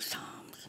Psalms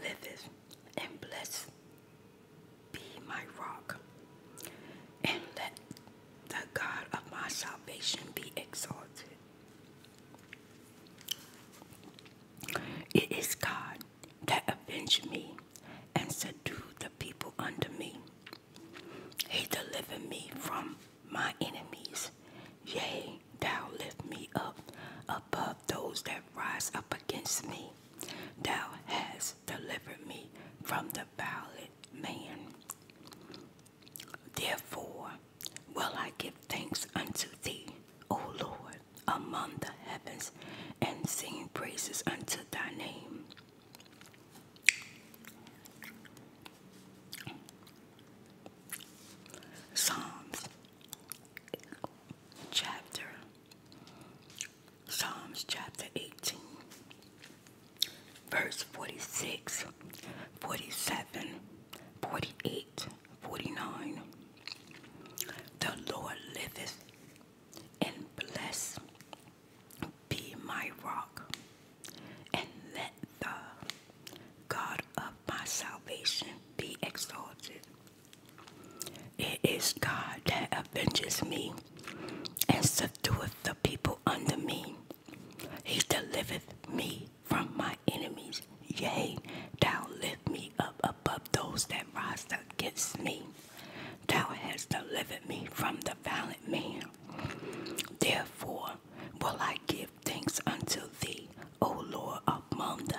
liveth, and blessed be my rock. And let the God of my salvation be exalted. It is God that avenged me and subdued the people under me. He delivered me from my enemies. Yea, thou lift me up above those that rise up against me. Thou hast delivered me from the violent man. Therefore will I give thanks unto thee, O Lord, among the heavens, and sing praises unto thy name. Psalms chapter Psalms chapter 18, verse 46, 47, 48, 49. The Lord liveth, and bless. be my rock, and let the God of my salvation be exalted. It is God that avenges me and subdueth the people under me. He delivereth me from my enemies. Yea, thou lift me up above those that rise against me. Thou hast delivered me from the violent man. Therefore will I give thanks unto thee, O Lord, among the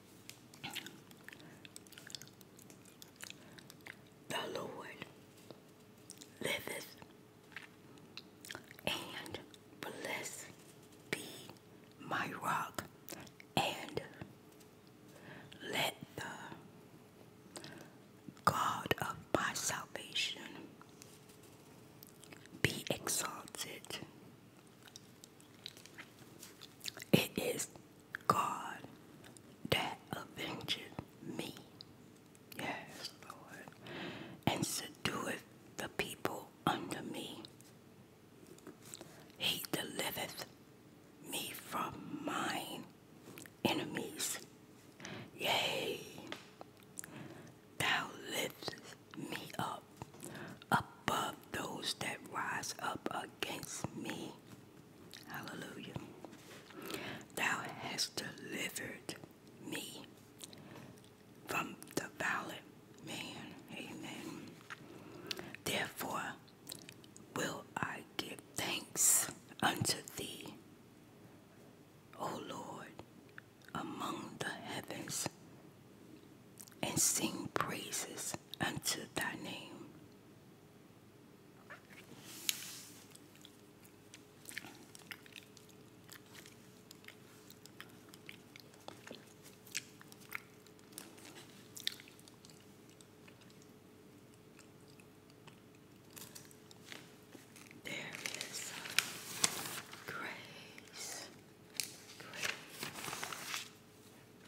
The Lord liveth, and bless be my rock, and let the God of my salvation be exalted it is God that avengeth me. Yes, And subdueth the people under me. He delivereth me from mine enemies. Yea, thou liftest me up above those that rise up against me. Hallelujah. Thou hast delivered me from the violent man. Amen. Therefore will I give thanks unto thee, O Lord, among the heavens, and sing praises unto thy name. There is grace,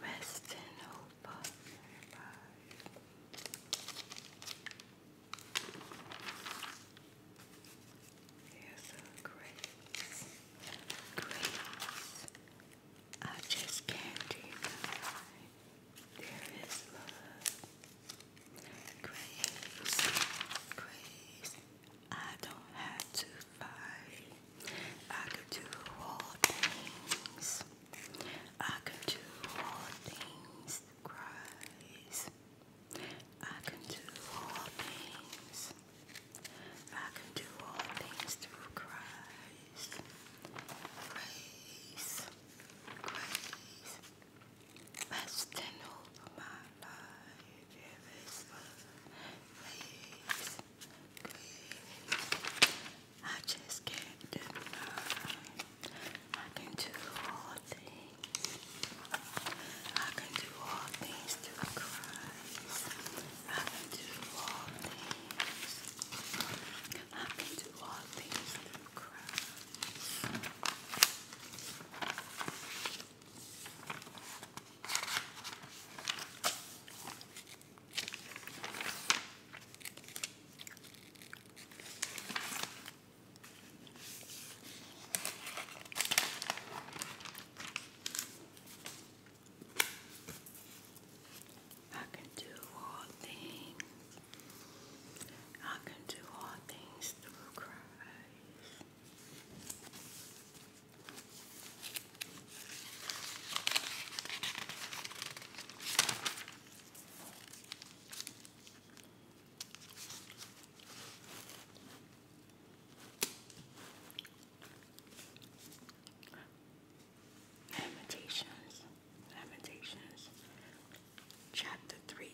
Rest in hope of grace. Grace. I just can't deny. There is love. Grace. Grace. I don't have to five. I could do all things. I could do all things through Christ. I can do all things. I can do all things through Christ. Grace, grace. let over my life. Grace, I just can't deny I can do all things. I can do all things through Christ. I can do all things. I can do all things through Christ. I can do all things. I can do all things through Christ. Lamentations, Lamentations, chapter three.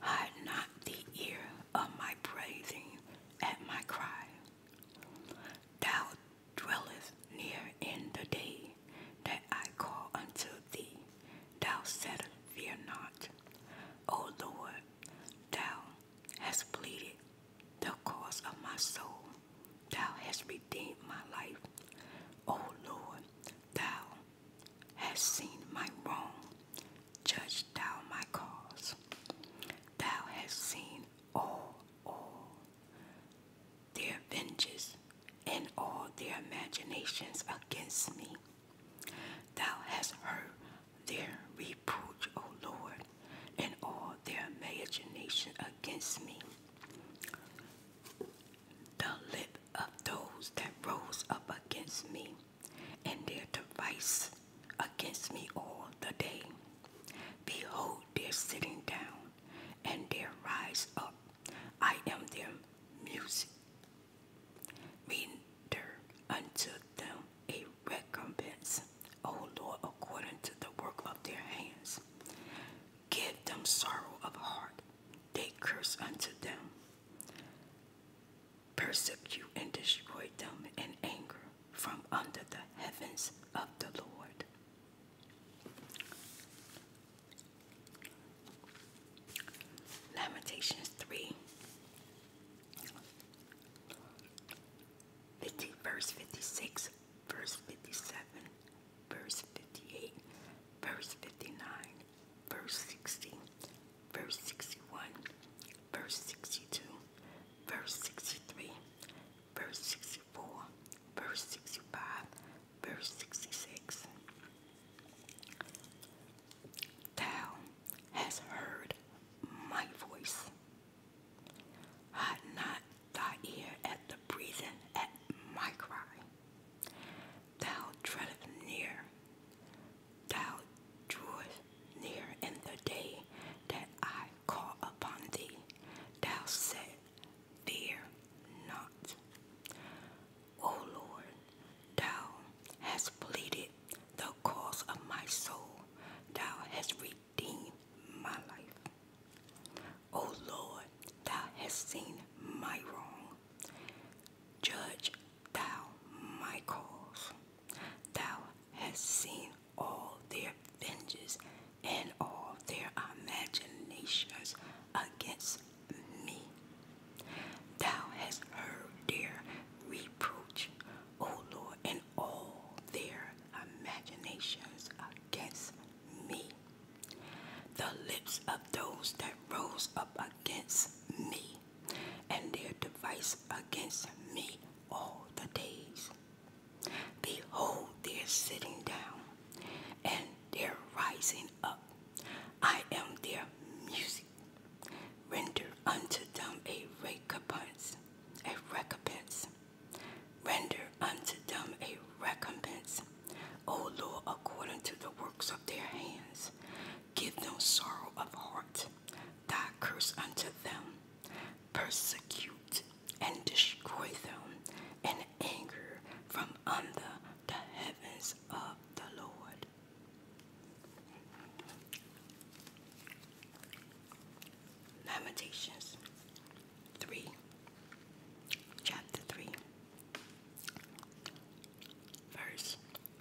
Hide not the ear of my praising at my cry. Thou dwellest near in the day that I call unto thee. Thou saidst, Fear not. O Lord, thou hast pleaded the cause of my soul. Thou hast redeemed my life. O Lord, thou hast seen my wrong. Judge thou my cause. Thou hast seen all, all their venges, and all their imaginations against me. Thou hast heard their reproach, O Lord, and all their imagination against me. The lip of those that rose up against me and their device against me all the day. Behold, they're sitting down and their rise up. I am their music. Render unto them a recompense, O Lord, according to the work of their hands. Give them sorrow of heart. They curse unto them persecute and destroy them in anger from under the heavens of the Lord. Lamentations 3 verse 56, verse 57, verse 58, verse 59, verse 60, verse 61, verse 62, verse 63, verse 64, verse 65, verse 66. Thou hast heard my voice. Hide not thy ear at the breathing at my cry. Thou treadest near thou drewest near in the day that I call upon thee. Thou said, Fear not. O Lord, thou hast pleaded the cause of my soul. Thou hast redeemed my life. O Lord, thou hast seen my wrong. Judge Thou, Michaels, thou hast seen all their venges and all their imaginations against me. Thou hast heard their reproach, O Lord, and all their imaginations against me. The lips of those that rose up against me and their device against me all the days. Behold, they're sitting down, and they're rising up. I am their music. Render unto them a recompense, a recompense. Render unto them a recompense, O Lord, according to the works of their hands. Give them sorrow of heart, thy curse unto them. Persecute and destroy them and anger from under the heavens of the Lord. Lamentations 3, chapter 3, verse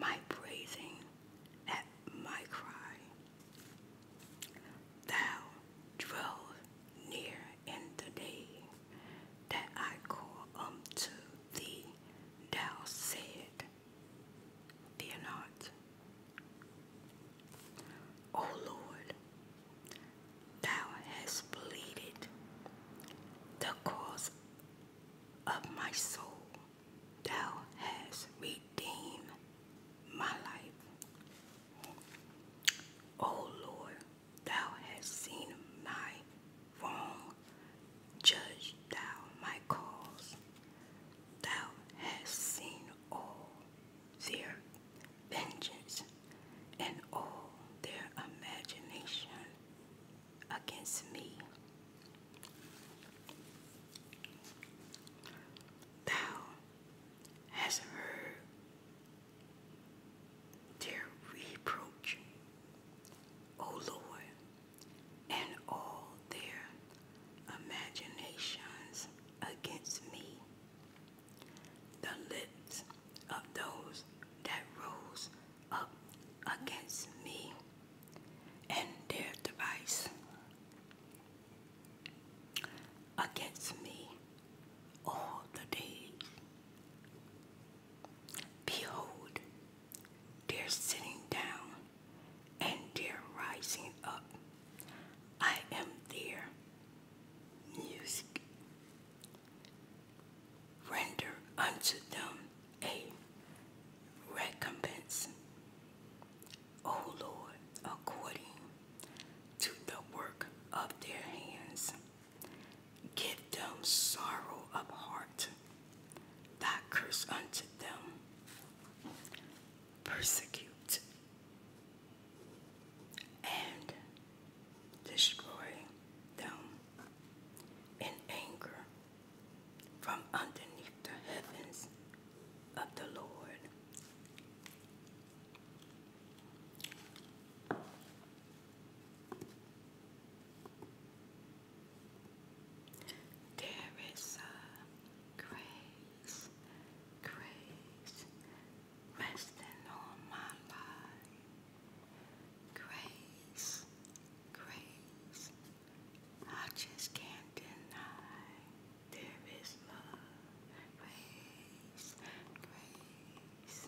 my praising at my cry. Thou drove near in the day that I call unto thee. Thou said, Fear not. O Lord, thou hast pleaded the cause of my soul. Thou hast redeemed my life. O Lord, Thou hast seen my wrong, judge Thou my cause. Thou hast seen all their vengeance and all their imagination against me. Thou hast heard their reproach, O Lord, and all their imaginations against me. The lips of those that rose up against me and their device against me all the day. Behold, they're sitting down and they're rising up. I am their music. Render unto them a recompense, O Lord, according to the work of their hands. Give them sorrow of heart, thy curse unto them. Persecute and destroy them in anger from underneath the heavens of the Lord. There is a grace, grace resting on my life. Grace, grace I just can't deny there is love, grace, grace.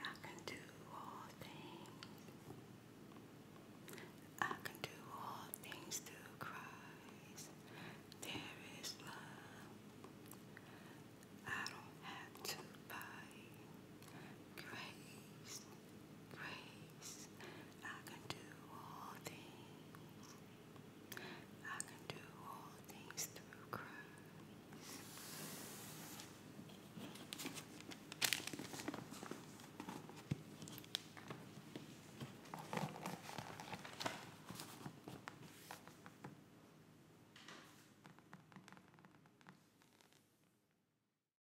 I can do all things. I can do all things through Christ. There is love. I don't have to fight. Grace grace. I can do all things. I can do all things through Christ.